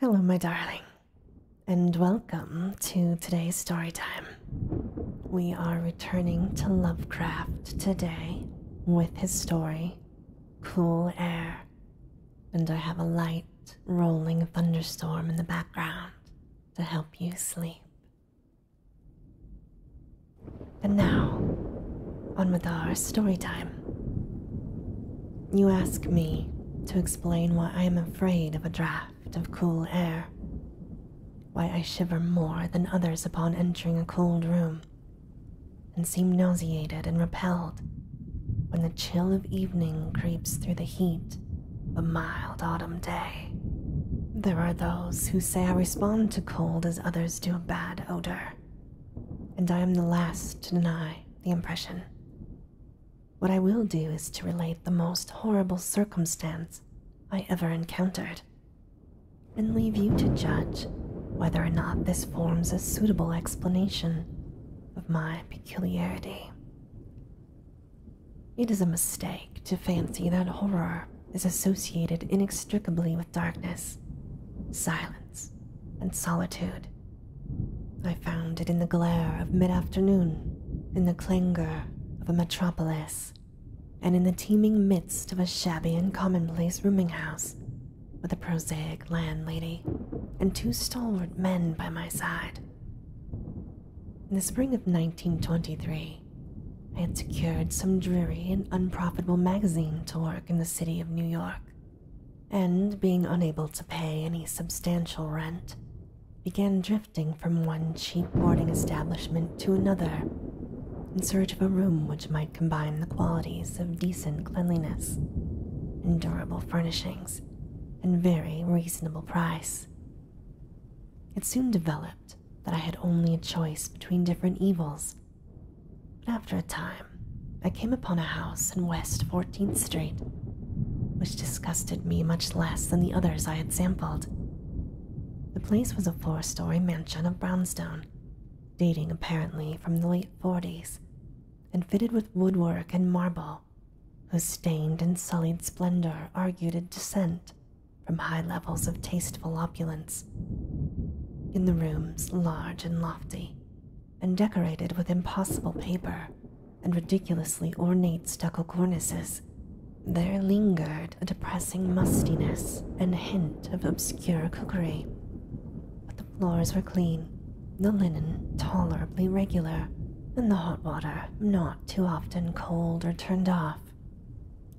Hello, my darling, and welcome to today's story time. We are returning to Lovecraft today with his story, Cool Air, and I have a light rolling thunderstorm in the background to help you sleep. And now, on with our story time. You ask me to explain why I am afraid of a draft of cool air, why I shiver more than others upon entering a cold room, and seem nauseated and repelled when the chill of evening creeps through the heat of a mild autumn day. There are those who say I respond to cold as others do a bad odor, and I am the last to deny the impression. What I will do is to relate the most horrible circumstance I ever encountered, and leave you to judge whether or not this forms a suitable explanation of my peculiarity. It is a mistake to fancy that horror is associated inextricably with darkness, silence, and solitude. I found it in the glare of mid afternoon, in the clangor of a metropolis, and in the teeming midst of a shabby and commonplace rooming house with a prosaic landlady and two stalwart men by my side. In the spring of 1923, I had secured some dreary and unprofitable magazine to work in the city of New York and, being unable to pay any substantial rent, began drifting from one cheap boarding establishment to another in search of a room which might combine the qualities of decent cleanliness, and durable furnishings, and very reasonable price. It soon developed that I had only a choice between different evils after a time, I came upon a house in West 14th Street, which disgusted me much less than the others I had sampled. The place was a four story mansion of brownstone, dating apparently from the late 40s, and fitted with woodwork and marble, whose stained and sullied splendor argued a descent from high levels of tasteful opulence. In the rooms, large and lofty, and decorated with impossible paper and ridiculously ornate stucco cornices, there lingered a depressing mustiness and hint of obscure cookery. But the floors were clean, the linen tolerably regular, and the hot water not too often cold or turned off,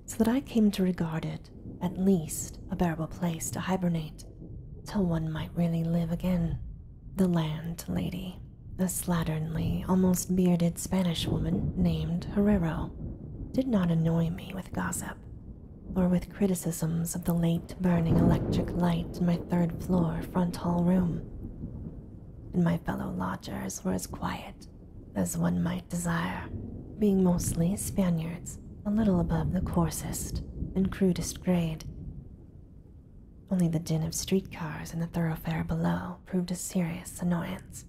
so that I came to regard it, at least, a bearable place to hibernate till one might really live again. The landlady, a slatternly, almost bearded Spanish woman named Herrero, did not annoy me with gossip or with criticisms of the late burning electric light in my third floor front hall room. And my fellow lodgers were as quiet as one might desire, being mostly Spaniards a little above the coarsest and crudest grade. Only the din of street cars in the thoroughfare below proved a serious annoyance.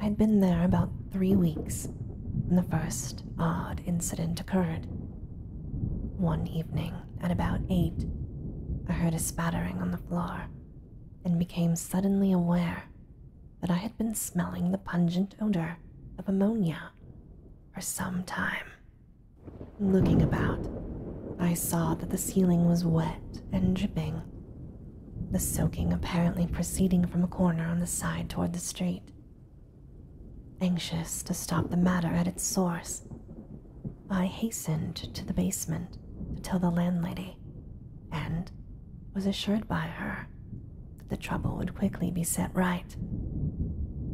I had been there about three weeks when the first odd incident occurred. One evening, at about eight, I heard a spattering on the floor and became suddenly aware that I had been smelling the pungent odor of ammonia for some time. Looking about, I saw that the ceiling was wet and dripping, the soaking apparently proceeding from a corner on the side toward the street. Anxious to stop the matter at its source, I hastened to the basement to tell the landlady and was assured by her the trouble would quickly be set right.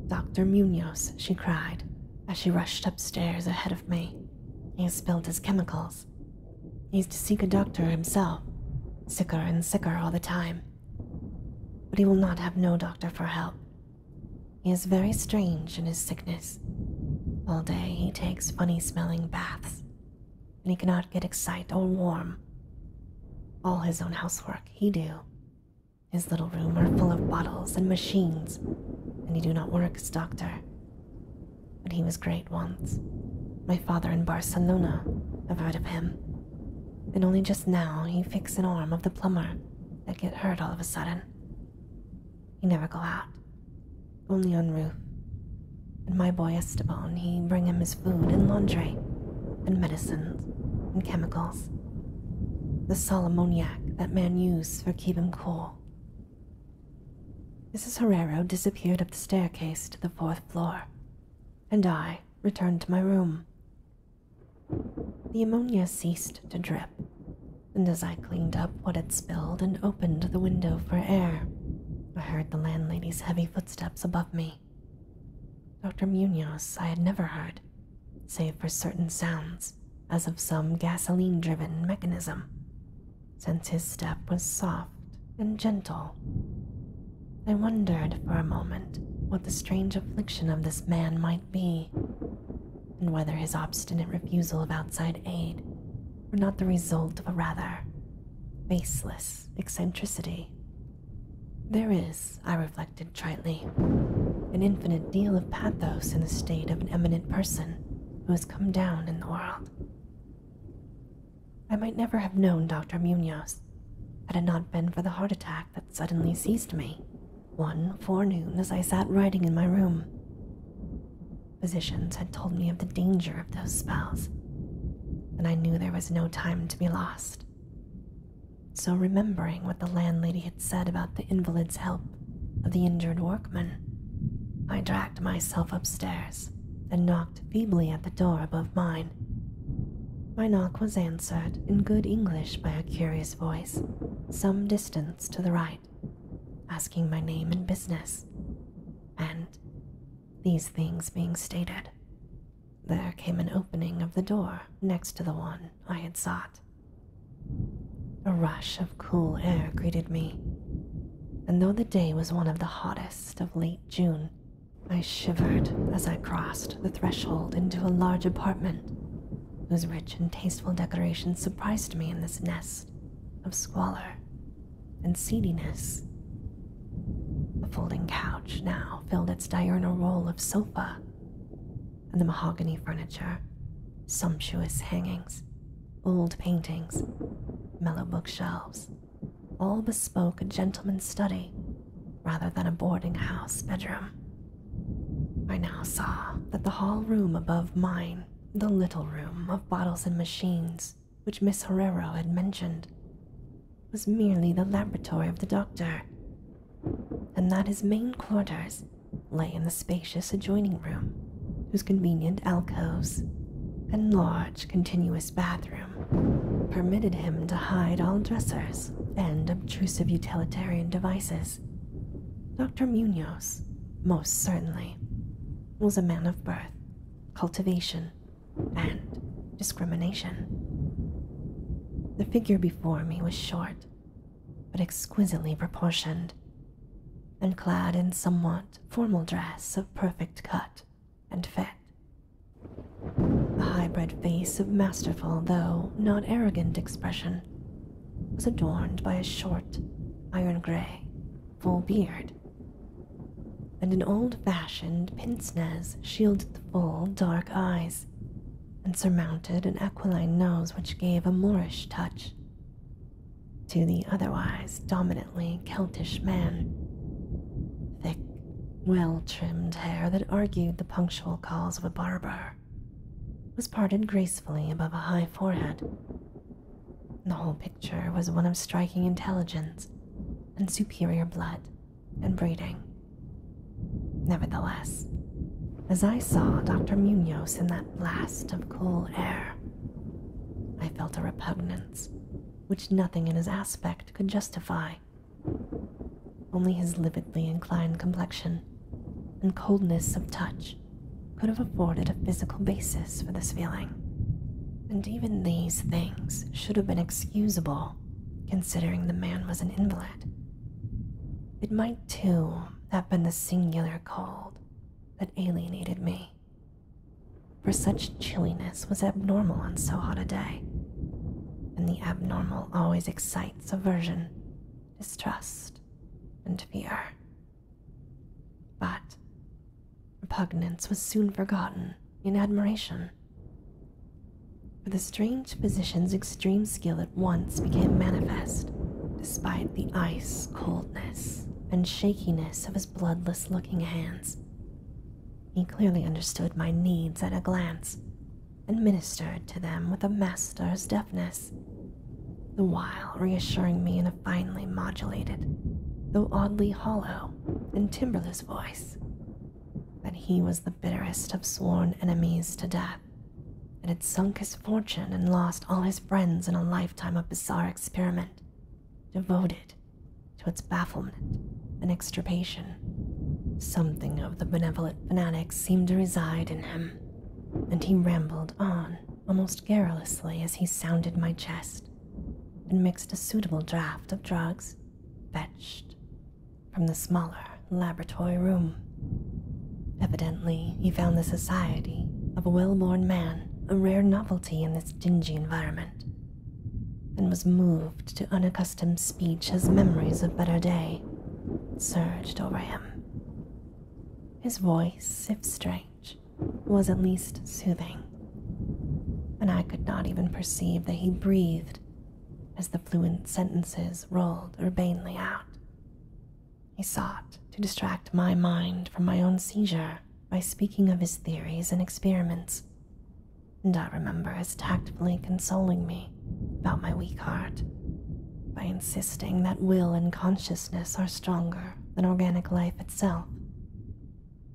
Dr. Munoz, she cried, as she rushed upstairs ahead of me. He has spilled his chemicals. He is to seek a doctor himself, sicker and sicker all the time. But he will not have no doctor for help. He is very strange in his sickness. All day he takes funny smelling baths, and he cannot get excited or warm. All his own housework he do. His little room are full of bottles and machines, and he do not work as doctor. But he was great once. My father in Barcelona, I've heard of him. And only just now he fix an arm of the plumber that get hurt all of a sudden. He never go out, only on roof. And my boy Esteban, he bring him his food and laundry, and medicines and chemicals. The sal ammoniac that men use for keeping cool. Mrs. Herrero disappeared up the staircase to the fourth floor, and I returned to my room. The ammonia ceased to drip, and as I cleaned up what had spilled and opened the window for air, I heard the landlady's heavy footsteps above me. Dr. Munoz I had never heard, save for certain sounds, as of some gasoline driven mechanism, since his step was soft and gentle. I wondered for a moment what the strange affliction of this man might be, and whether his obstinate refusal of outside aid were not the result of a rather baseless eccentricity there is, I reflected tritely, an infinite deal of pathos in the state of an eminent person who has come down in the world. I might never have known Dr. Munoz had it not been for the heart attack that suddenly seized me one forenoon as I sat writing in my room. Physicians had told me of the danger of those spells, and I knew there was no time to be lost. So, remembering what the landlady had said about the invalid's help of the injured workman, I dragged myself upstairs and knocked feebly at the door above mine. My knock was answered in good English by a curious voice, some distance to the right, asking my name and business, and, these things being stated, there came an opening of the door next to the one I had sought. A rush of cool air greeted me, and though the day was one of the hottest of late June, I shivered as I crossed the threshold into a large apartment whose rich and tasteful decorations surprised me in this nest of squalor and seediness. The folding couch now filled its diurnal role of sofa, and the mahogany furniture, sumptuous hangings, old paintings, mellow bookshelves, all bespoke a gentleman's study rather than a boarding house bedroom. I now saw that the hall room above mine, the little room of bottles and machines which Miss Herrero had mentioned, was merely the laboratory of the doctor, and that his main quarters lay in the spacious adjoining room, whose convenient alcoves and large, continuous bathroom permitted him to hide all dressers and obtrusive utilitarian devices. Dr. Munoz, most certainly, was a man of birth, cultivation, and discrimination. The figure before me was short, but exquisitely proportioned, and clad in somewhat formal dress of perfect cut and fit. A high-bred face of masterful, though not arrogant expression, was adorned by a short, iron-gray, full beard and an old fashioned pince nez shielded the full, dark eyes, and surmounted an aquiline nose which gave a Moorish touch to the otherwise dominantly Celtish man. Thick, well trimmed hair that argued the punctual calls of a barber was parted gracefully above a high forehead. The whole picture was one of striking intelligence and superior blood and breeding. Nevertheless, as I saw Dr. Munoz in that blast of cool air, I felt a repugnance which nothing in his aspect could justify. Only his lividly inclined complexion and coldness of touch could have afforded a physical basis for this feeling. And even these things should have been excusable considering the man was an invalid. It might, too, have been the singular cold that alienated me, for such chilliness was abnormal on so hot a day, and the abnormal always excites aversion, distrust, and fear. But repugnance was soon forgotten in admiration. For the strange physician's extreme skill at once became manifest, despite the ice, coldness, and shakiness of his bloodless looking hands. He clearly understood my needs at a glance and ministered to them with a master's deftness, the while reassuring me in a finely modulated, though oddly hollow and timberless voice that he was the bitterest of sworn enemies to death, and had sunk his fortune and lost all his friends in a lifetime of bizarre experiment devoted to its bafflement and extirpation. Something of the benevolent fanatic seemed to reside in him, and he rambled on almost garrulously as he sounded my chest and mixed a suitable draught of drugs fetched from the smaller laboratory room. Evidently, he found the society of a well born man a rare novelty in this dingy environment, and was moved to unaccustomed speech as memories of better days surged over him. His voice, if strange, was at least soothing, and I could not even perceive that he breathed as the fluent sentences rolled urbanely out. He sought to distract my mind from my own seizure by speaking of his theories and experiments, and I remember his tactfully consoling me about my weak heart by insisting that will and consciousness are stronger than organic life itself,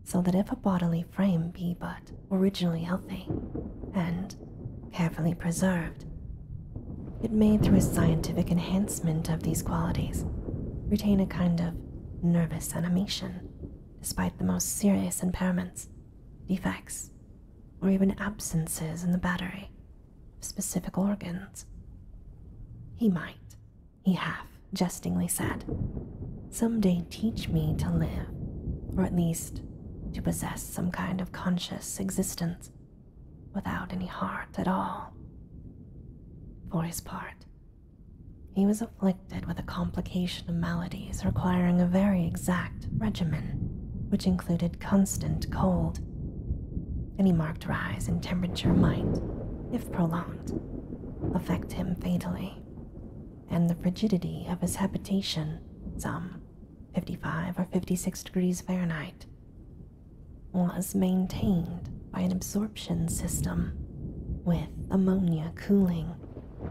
so that if a bodily frame be but originally healthy and carefully preserved, it may, through a scientific enhancement of these qualities, retain a kind of nervous animation despite the most serious impairments, defects, or even absences in the battery of specific organs. He might, he half jestingly said, someday teach me to live, or at least to possess some kind of conscious existence without any heart at all. For his part, he was afflicted with a complication of maladies requiring a very exact regimen, which included constant cold. Any marked rise in temperature might, if prolonged, affect him fatally and the frigidity of his habitation some 55 or 56 degrees Fahrenheit was maintained by an absorption system with ammonia cooling,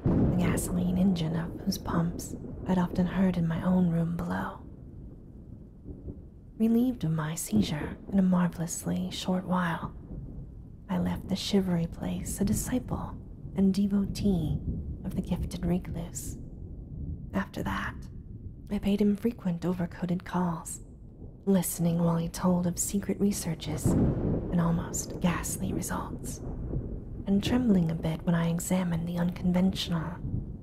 the gasoline engine of whose pumps I'd often heard in my own room below. Relieved of my seizure in a marvelously short while, I left the shivery place a disciple and devotee of the gifted recluse. After that, I paid him frequent overcoated calls, listening while he told of secret researches and almost ghastly results, and trembling a bit when I examined the unconventional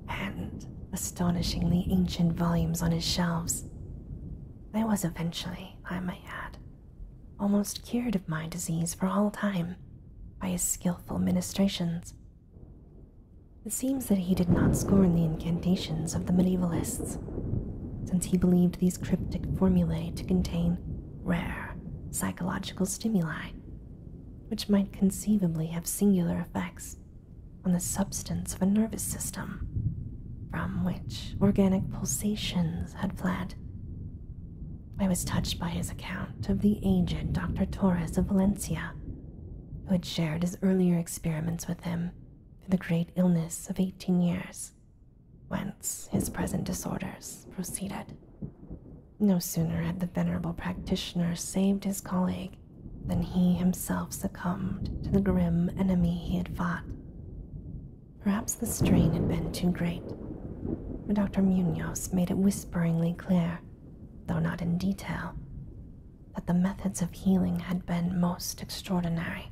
and astonishingly ancient volumes on his shelves. I was eventually, I may add, almost cured of my disease for all time by his skilful ministrations. It seems that he did not scorn the incantations of the medievalists, since he believed these cryptic formulae to contain rare psychological stimuli, which might conceivably have singular effects on the substance of a nervous system from which organic pulsations had fled. I was touched by his account of the aged Dr. Torres of Valencia, who had shared his earlier experiments with him through the great illness of 18 years, whence his present disorders proceeded. No sooner had the venerable practitioner saved his colleague than he himself succumbed to the grim enemy he had fought. Perhaps the strain had been too great, but Dr. Munoz made it whisperingly clear, though not in detail, that the methods of healing had been most extraordinary,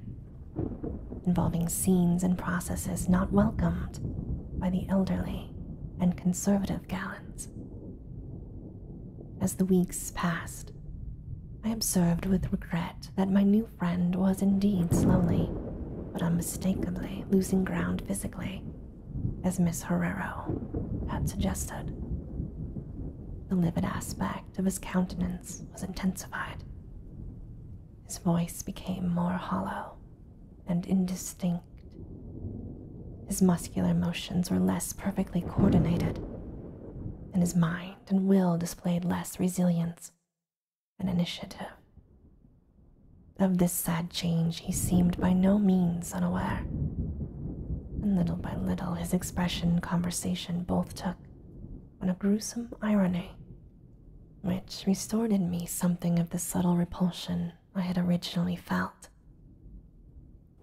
involving scenes and processes not welcomed by the elderly and conservative gallants. As the weeks passed, I observed with regret that my new friend was indeed slowly, but unmistakably losing ground physically, as Miss Herrero had suggested. The livid aspect of his countenance was intensified. His voice became more hollow and indistinct. His muscular motions were less perfectly coordinated, and his mind and will displayed less resilience an initiative. Of this sad change, he seemed by no means unaware, and little by little his expression and conversation both took on a gruesome irony, which restored in me something of the subtle repulsion I had originally felt.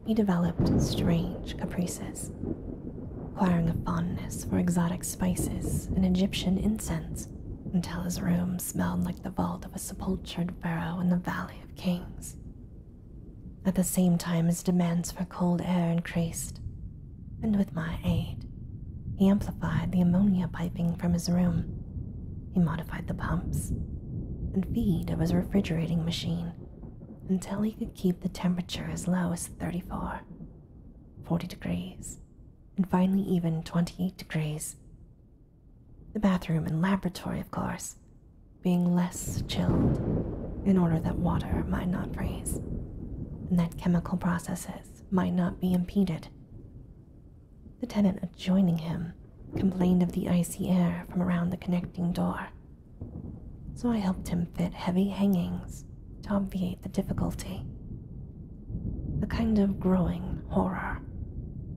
He developed strange caprices, acquiring a fondness for exotic spices and Egyptian incense, until his room smelled like the vault of a sepulchred pharaoh in the Valley of Kings. At the same time, his demands for cold air increased, and with my aid, he amplified the ammonia piping from his room. He modified the pumps and feed of his refrigerating machine until he could keep the temperature as low as thirty-four, forty degrees, and finally even 28 degrees. The bathroom and laboratory, of course, being less chilled in order that water might not freeze and that chemical processes might not be impeded. The tenant adjoining him complained of the icy air from around the connecting door, so I helped him fit heavy hangings to obviate the difficulty. A kind of growing horror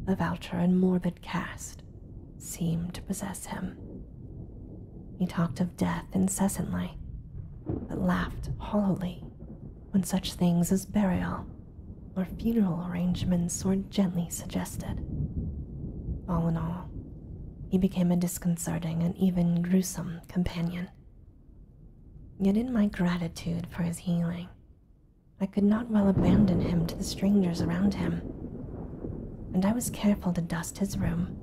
the voucher and morbid cast seemed to possess him. He talked of death incessantly, but laughed hollowly when such things as burial or funeral arrangements were gently suggested. All in all, he became a disconcerting and even gruesome companion Yet, in my gratitude for his healing, I could not well abandon him to the strangers around him, and I was careful to dust his room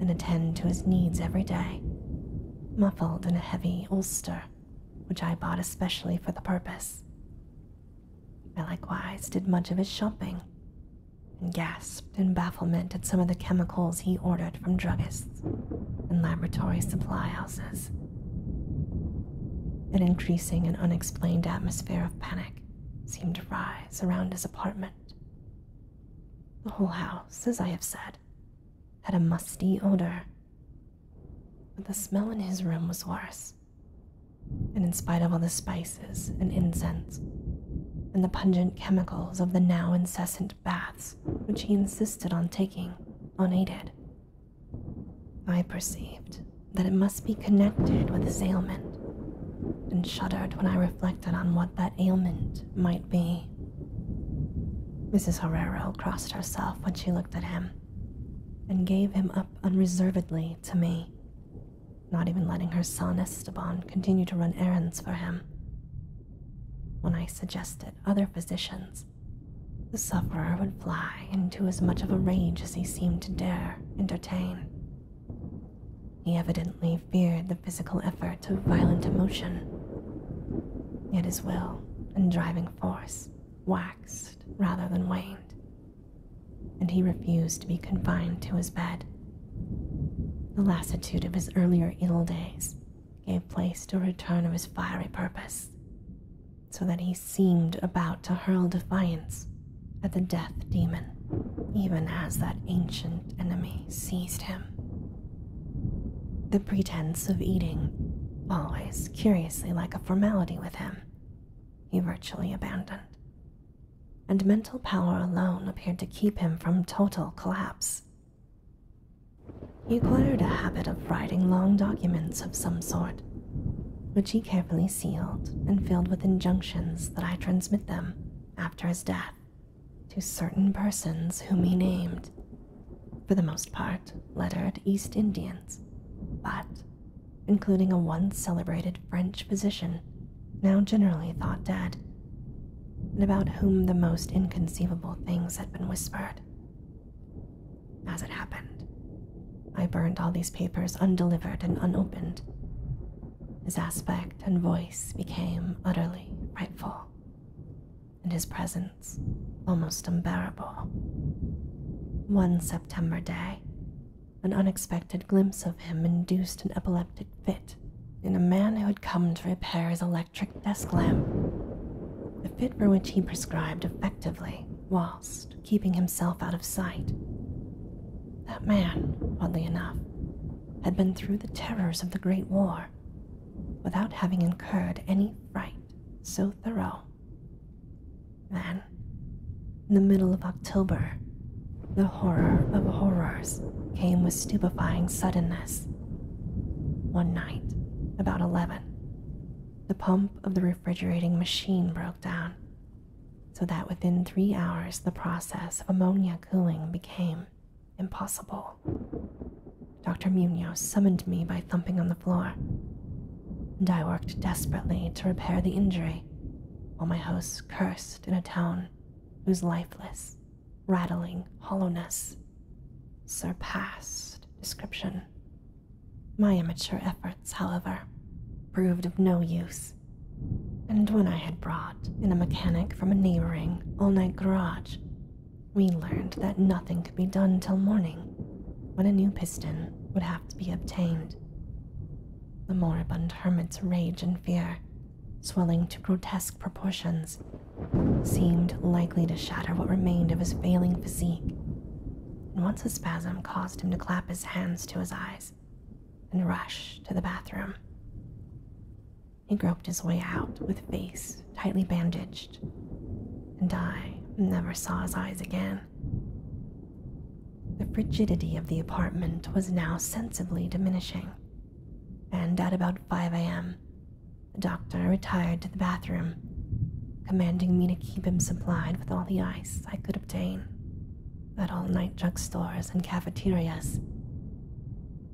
and attend to his needs every day, muffled in a heavy ulster which I bought especially for the purpose. I likewise did much of his shopping and gasped in bafflement at some of the chemicals he ordered from druggists and laboratory supply houses. An increasing and unexplained atmosphere of panic seemed to rise around his apartment. The whole house, as I have said, had a musty odor. But the smell in his room was worse. And in spite of all the spices and incense and the pungent chemicals of the now incessant baths, which he insisted on taking unaided. I perceived that it must be connected with his ailment, and shuddered when I reflected on what that ailment might be. Mrs. Herrero crossed herself when she looked at him, and gave him up unreservedly to me, not even letting her son Esteban continue to run errands for him. When I suggested other physicians, the sufferer would fly into as much of a rage as he seemed to dare entertain. He evidently feared the physical effort of violent emotion. Yet his will and driving force waxed rather than waned, and he refused to be confined to his bed. The lassitude of his earlier ill days gave place to a return of his fiery purpose, so that he seemed about to hurl defiance at the death demon, even as that ancient enemy seized him. The pretense of eating, always curiously like a formality with him, he virtually abandoned, and mental power alone appeared to keep him from total collapse he acquired a habit of writing long documents of some sort, which he carefully sealed and filled with injunctions that I transmit them, after his death, to certain persons whom he named, for the most part lettered East Indians, but including a once celebrated French physician, now generally thought dead, and about whom the most inconceivable things had been whispered. As it happened, I burned all these papers undelivered and unopened. His aspect and voice became utterly frightful, and his presence almost unbearable. One September day, an unexpected glimpse of him induced an epileptic fit in a man who had come to repair his electric electric desk lamp, the fit for which he prescribed effectively whilst keeping himself out of sight. That man, oddly enough, had been through the terrors of the Great War without having incurred any fright so thorough. Then, in the middle of October, the horror of horrors came with stupefying suddenness. One night, about 11, the pump of the refrigerating machine broke down, so that within three hours the process of ammonia cooling became impossible. Dr. Munoz summoned me by thumping on the floor, and I worked desperately to repair the injury while my host cursed in a tone whose lifeless rattling hollowness surpassed description. My amateur efforts, however, proved of no use, and when I had brought in a mechanic from a neighboring all night garage, we learned that nothing could be done till morning when a new piston would have to be obtained. The moribund hermit's rage and fear, swelling to grotesque proportions, seemed likely to shatter what remained of his failing physique, and once a spasm caused him to clap his hands to his eyes and rush to the bathroom. He groped his way out with face tightly bandaged, and I never saw his eyes again. The frigidity of the apartment was now sensibly diminishing, and at about 5 a.m., the doctor retired to the bathroom, commanding me to keep him supplied with all the ice I could obtain at all night drugstores and cafeterias.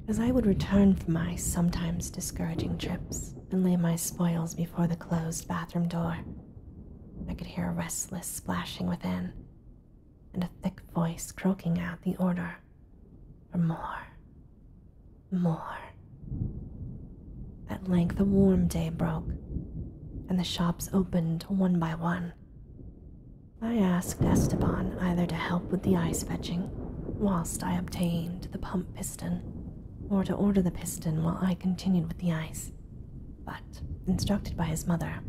As I would return from my sometimes discouraging trips and lay my spoils before the closed bathroom door, I could hear a restless splashing within and a thick voice croaking out the order or more, more. At length, a warm day broke, and the shops opened one by one. I asked Esteban either to help with the ice fetching whilst I obtained the pump piston, or to order the piston while I continued with the ice, but, instructed by his mother,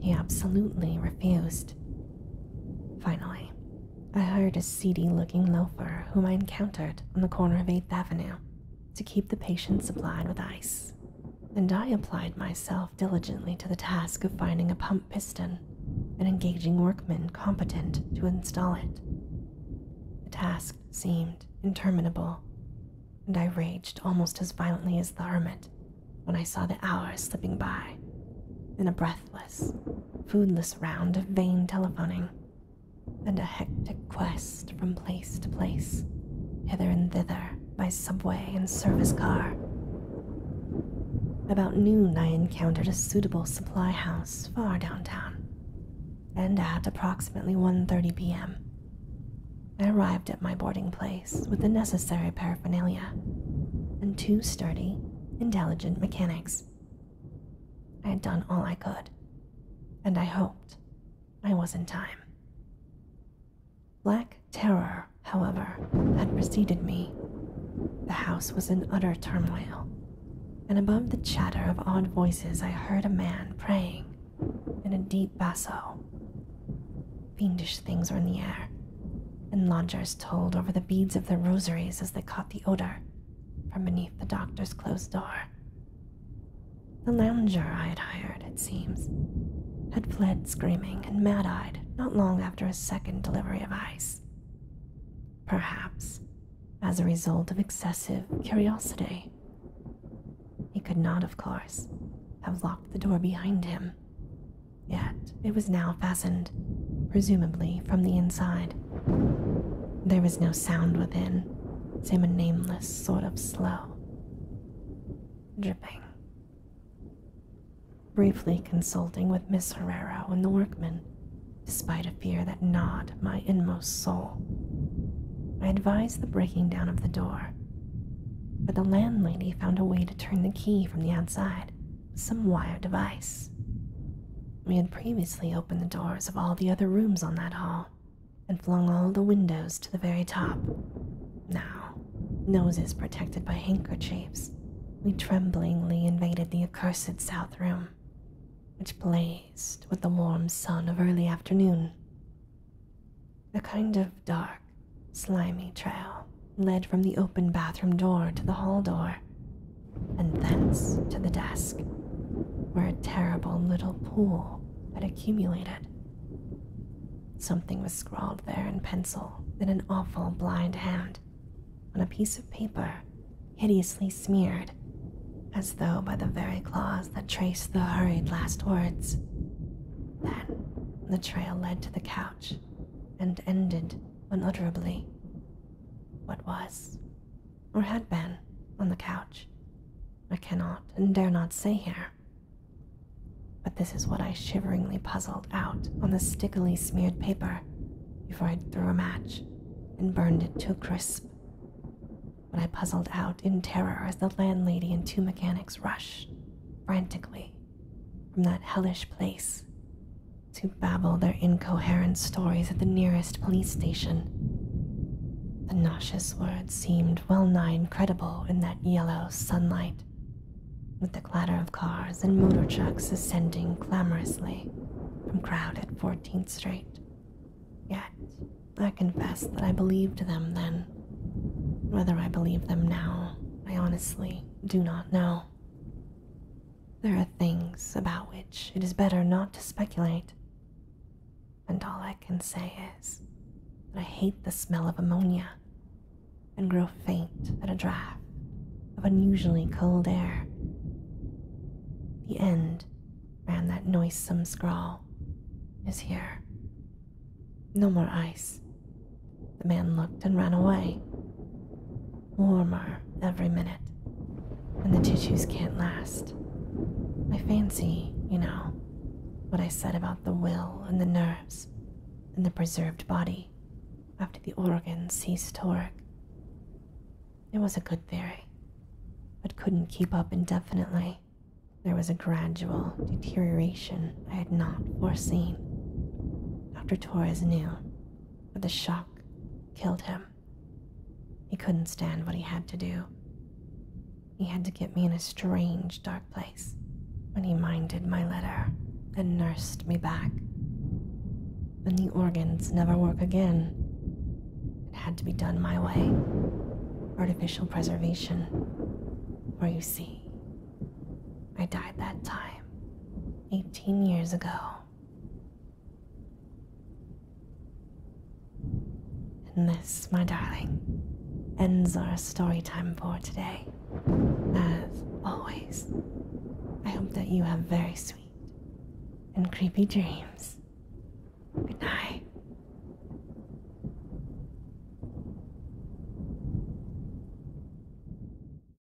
he absolutely refused. Finally, I hired a seedy looking loafer whom I encountered on the corner of 8th Avenue to keep the patient supplied with ice, and I applied myself diligently to the task of finding a pump piston and engaging workmen competent to install it. The task seemed interminable, and I raged almost as violently as the hermit when I saw the hours slipping by in a breathless, foodless round of vain telephoning, and a hectic quest from place to place, hither and thither by subway and service car. About noon, I encountered a suitable supply house far downtown, and at approximately 1:30 p.m., I arrived at my boarding place with the necessary paraphernalia and two sturdy, intelligent mechanics I had done all I could, and I hoped I was in time. Black terror, however, had preceded me. The house was in utter turmoil, and above the chatter of odd voices, I heard a man praying in a deep basso. Fiendish things were in the air, and lodgers told over the beads of their rosaries as they caught the odor from beneath the doctor's closed door. The lounger I had hired, it seems, had fled screaming and mad eyed not long after his second delivery of ice. Perhaps as a result of excessive curiosity. He could not, of course, have locked the door behind him, yet it was now fastened, presumably from the inside. There was no sound within, save a nameless sort of slow dripping. Briefly consulting with Miss Herrero and the workmen, despite a fear that gnawed my inmost soul, I advised the breaking down of the door, but the landlady found a way to turn the key from the outside some wire device. We had previously opened the doors of all the other rooms on that hall and flung all the windows to the very top. Now, noses protected by handkerchiefs, we tremblingly invaded the accursed south room, which blazed with the warm sun of early afternoon. A kind of dark, slimy trail led from the open bathroom door to the hall door, and thence to the desk, where a terrible little pool had accumulated. Something was scrawled there in pencil in an awful blind hand on a piece of paper hideously smeared, as though by the very claws that traced the hurried last words. Then the trail led to the couch and ended unutterably what was, or had been, on the couch. I cannot and dare not say here. But this is what I shiveringly puzzled out on the stickily smeared paper before I threw a match and burned it to crisp. What I puzzled out in terror as the landlady and two mechanics rushed, frantically, from that hellish place to babble their incoherent stories at the nearest police station. The nauseous words seemed well nigh incredible in that yellow sunlight, with the clatter of cars and motor trucks ascending clamorously from crowded 14th Street. Yet, I confess that I believed them then. Whether I believe them now, I honestly do not know. There are things about which it is better not to speculate. And all I can say is that I hate the smell of ammonia and grow faint at a draft of unusually cold air. The end, ran that noisome scrawl, is here. No more ice. The man looked and ran away warmer every minute, and the tissues can't last. I fancy, you know, what I said about the will and the nerves and the preserved body after the organs ceased to work. It was a good theory, but couldn't keep up indefinitely. There was a gradual deterioration I had not foreseen. Dr. Torres knew, but the shock killed him. He couldn't stand what he had to do. He had to get me in a strange, dark place when he minded my letter and nursed me back. Then the organs never work again. It had to be done my way. Artificial preservation. Where you see, I died that time, 18 years ago. And this, my darling, ends our story time for today. As always, I hope that you have very sweet and creepy dreams. Good night.